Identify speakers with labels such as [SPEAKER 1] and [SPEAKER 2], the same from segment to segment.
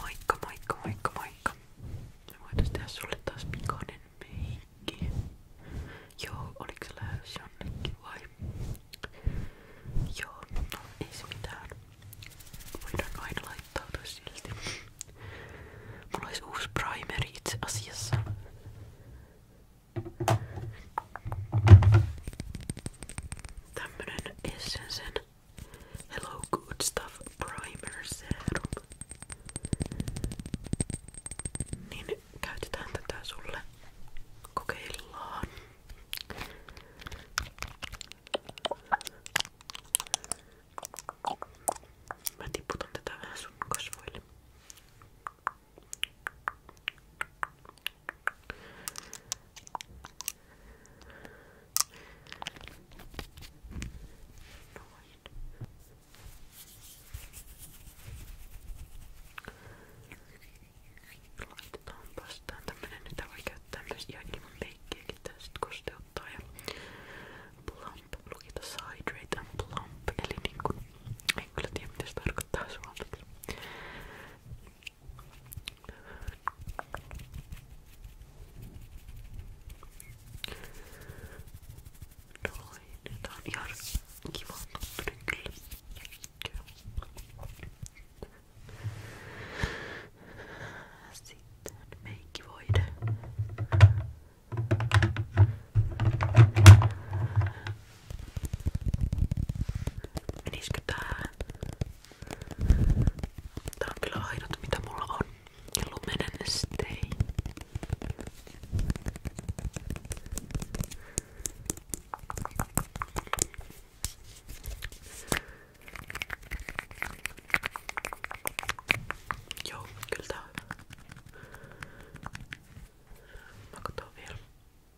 [SPEAKER 1] Moikka, moikka, moikka, moikka. Me voitais tehdä sulle taas pikainen meikki. Joo, oliks se lähes jonnekin Joo, no ei mitään. Voidaan aina laittautua silti. Mulla olisi uusi primeri itse asiassa. Tämmönen Hello, good stuff primer serum. Niin käytetään tätä sulle. Kokeillaan. Mä tiputan tätä vähän sun Noin. Laitetaanpas tää tämmönen, että voi käyttää myös ihan ilman peikkiäkin. Tää sit kosteuttaa ja plump. Luki tossa hydrate and plump. Eli niinku, en kyllä tiedä mitä se tarkoittaa suomeksi. Noin, nyt on ihan kiva tuntunut kyllä. Sitten meikki voide. Menisikö tää Tää on kyllä ainut mitä mulla on. Ja lumenen stei. Joo, kyllä tää on hyvä. Mä katon vielä.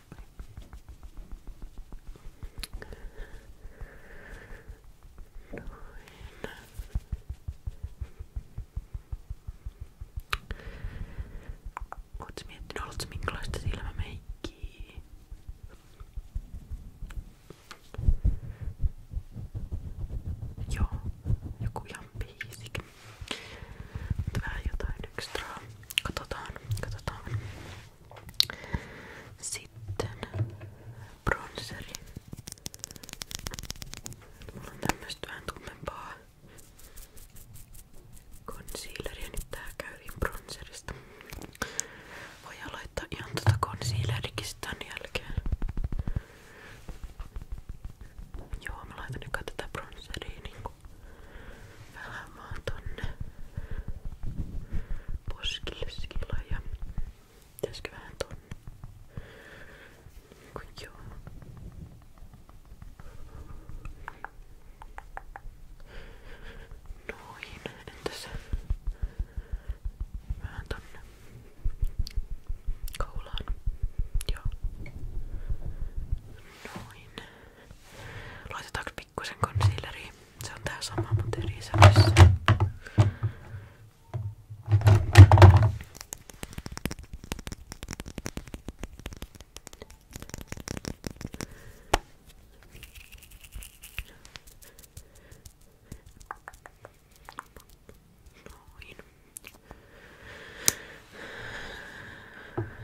[SPEAKER 1] Ootko miettinyt, oletko minkälaista silmämeikkiä? Joo, joku ihan piisikin. Mutta vähän jotain ekstraa. Katsotaan, katsotaan. Sitten bronseri. Mulla on tämmöstä vähän tummempaa concealeria. Nyt niin tää käyvin bronserista. Voi aloittaa ihan tota concealerikin tämän jälkeen. Joo, mä laitan nyt tätä bronsseria niinku pelaamaan tonne poskille sillä ja pitäisikö vähän tonne niin kuin joo noin, entäs vähän tonne kaulaan joo noin Laitetaanko pikkusen concealeriin? Se on tää sama, mutta eri isävissä. Noin.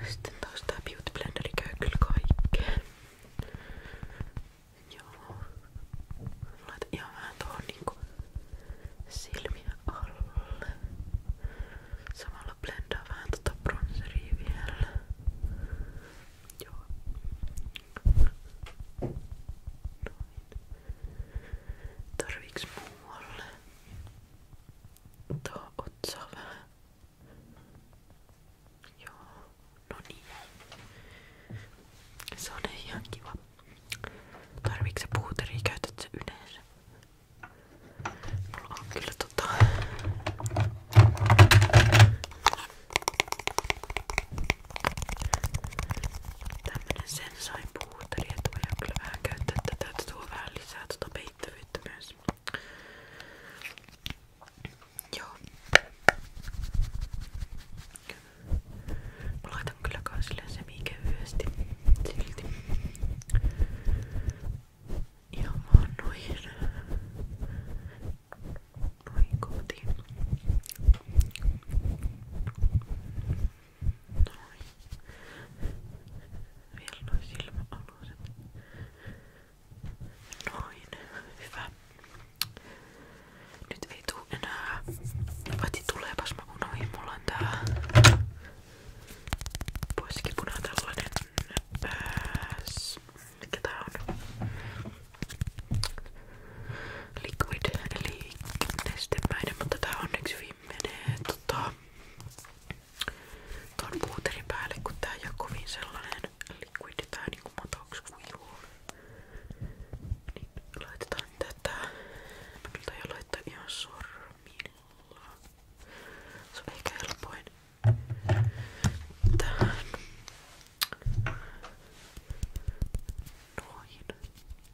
[SPEAKER 1] Sitten taas tää Beauty Blenderi käy kyllä kaikkeen. Joo. Laitan ihan vähän tuohon niinku silmiä alle. Samalla blendaa vähän tota bronzeria vielä. Joo. Noin. Tarviiks muualle? Tuohon otsaa vähän. Joo, no niin. Se on ihan kiva. Tarviiko se yleensä? Mulla on kyllä tota... Tämmönen sensain puuteri, että voidaan kyllä vähän käyttää tätä, että tuo vähän lisää tuota riittävyyttä myös. Joo. Mä laitan kyllä kans semikevyesti silti. Ihan vaan noin. Noin kotiin. Noin. Vielä nuo silmäaluset. Noin. Hyvä. Nyt ei tuu enää. Vati tuleepas mä unohin. Mulla on tää poiskipuna tällainen pääs. Mikä tää on? Liquid eli nestemäinen, mutta tää onneksi hyvin menee tota, tuon puuterin päälle, kun tää ei oo kovin sellainen liquidi tai niinku matoks kuivuu. Niin laitetaan tätä. Mä kyllä taion laittaa ihan sormilla. Se on ehkä helpoin. Tähän. Noin.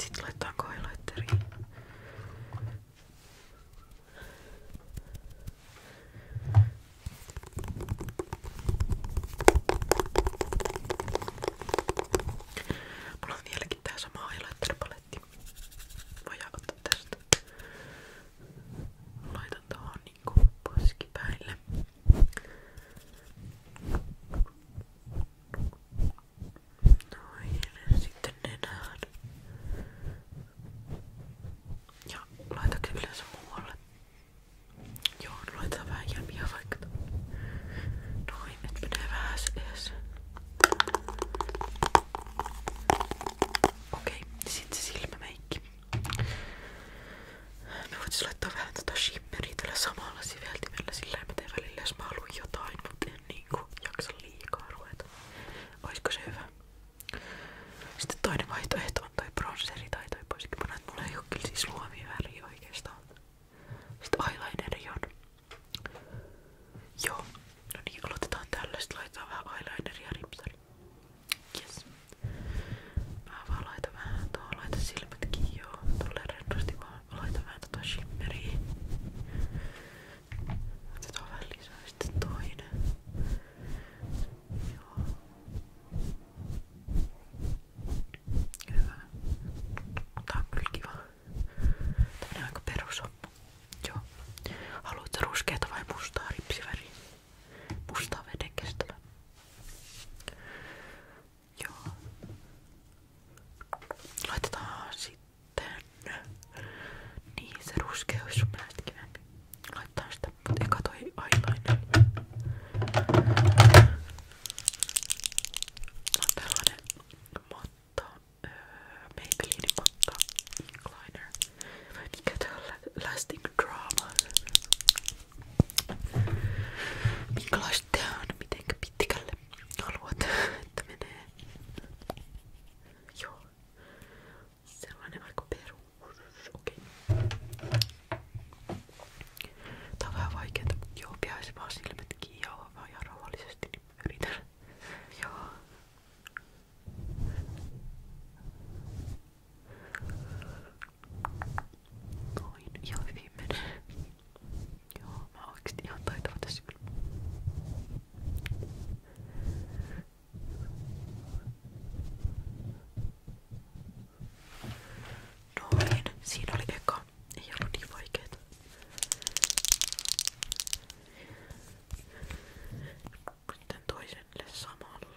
[SPEAKER 1] Sitten laitetaan kailaitteriin. Mulla on vieläkin tää sama highlighter-paletti. Voidaan ottaa tästä. Laitan tuohon niinku poskipäille. Noin, sitten nenään. Ja laitakin yleensä muualle. Joo, laitetaan vähän jämiä Noin, nyt menee Okei, sitten se silmämeikki. Me voitais laittaa vähän tota shimmeriä tällä samalla siveltimellä, sillä ei mä teen välillä, jos mä haluan jotain, mutta en niinku jaksa liikaa ruveta. Oisko se hyvä? Sitten toinen vaihtoehto on toi bronzeri tai toi poiskipana, että mulla ei oo kyllä siis luomia väriä oikeastaan. Sitten eyelineri on. Joo. No niin, aloitetaan tällä. Sitten laitetaan vähän eyelineria ripsari. Yes. Mä vaan laitan vähän tuohon, laitan silmät kiinni joo. Tolleen rennosti vaan. Mä laitan vähän tota shimmeriä. Otetaan vähän lisää sitten toinen. Joo. Hyvä. Tää on kyllä kiva. Tää on aika perusoppu. Joo. Haluatko ruskeata vai mustaa ripsiväriä? Mustaa veden kestävä. Joo. Laitetaan sitten niin se ruskeus on kivempi. Laitetaan sitä, mutta eka toi eyeliner. On tällainen matta, öö, Maybelline matta eyeliner. Vai mikä tää on? Lasting Drama minkälaista tää on, mitenkä pitkälle haluat, että menee. Joo. Sellainen vaikka perus. Okei. Okay. Tää on vähän vaikeeta, mutta joo, pihaisi vaan silmät kiinni ja vaan ihan rauhallisesti, niin yritän. joo. Noin, ihan hyvin menee. Joo, mä oon oikeesti ihan taitava tässä kyllä. Noin, siinä oli eka. Ei ollut niin vaikeeta. Sitten toiselle samanlainen.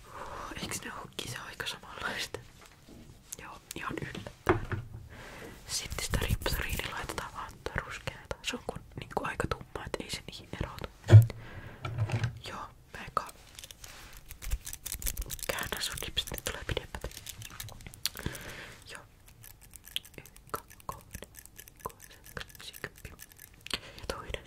[SPEAKER 1] Eiks ne hukki se aika samanlaista? Joo, ihan yllättävän. Sitten sitä ripsoriini laitetaan vaan ruskeata. Se on kun, niin kuin aika tumma, et ei se niihin erotu. Joo, mä eka käännän sun ripsit, ne tulee pidemmät. Joo. Yksi, kaksi, kolme, kuusi, kaksi, Ja toinen.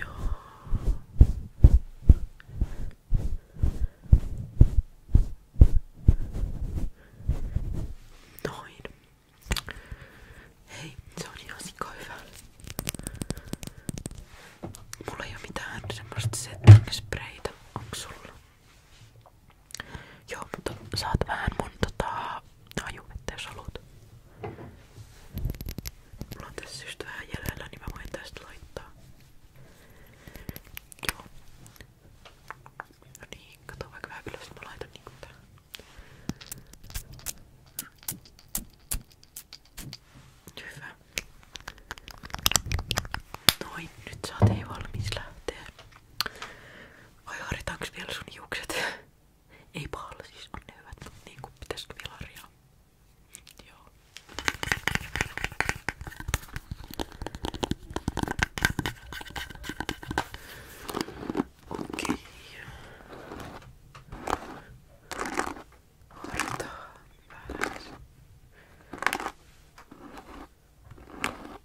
[SPEAKER 1] Joo. Noin. Hei, se on ihan Mulla ei mitään semmoista setting sprayta. Onks sulla? Joo, mutta saat vähän mun tota No juvettä jos haluat. Mulla on tässä just vähän jäljellä, niin mä voin tästä laittaa. Joo. No niin, kato vaikka vähän ylös, mä laitan niinku tää. Hyvä. Noin, nyt saatiin valmis lähteä. Vai haritaanko vielä sun hiukset? Ei pahalla siis, on ne hyvät, mutta niinku pitäisikö vielä harjaa? Joo. Okei. Harjoitaan vähän.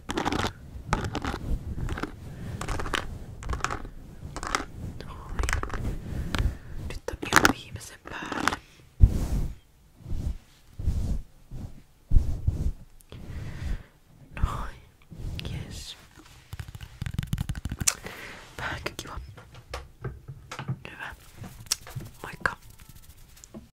[SPEAKER 1] Noin. Nyt on ihan viimeisen päälle. Noin. Yes. Vähänkö kiva. Hyvä. Moikka.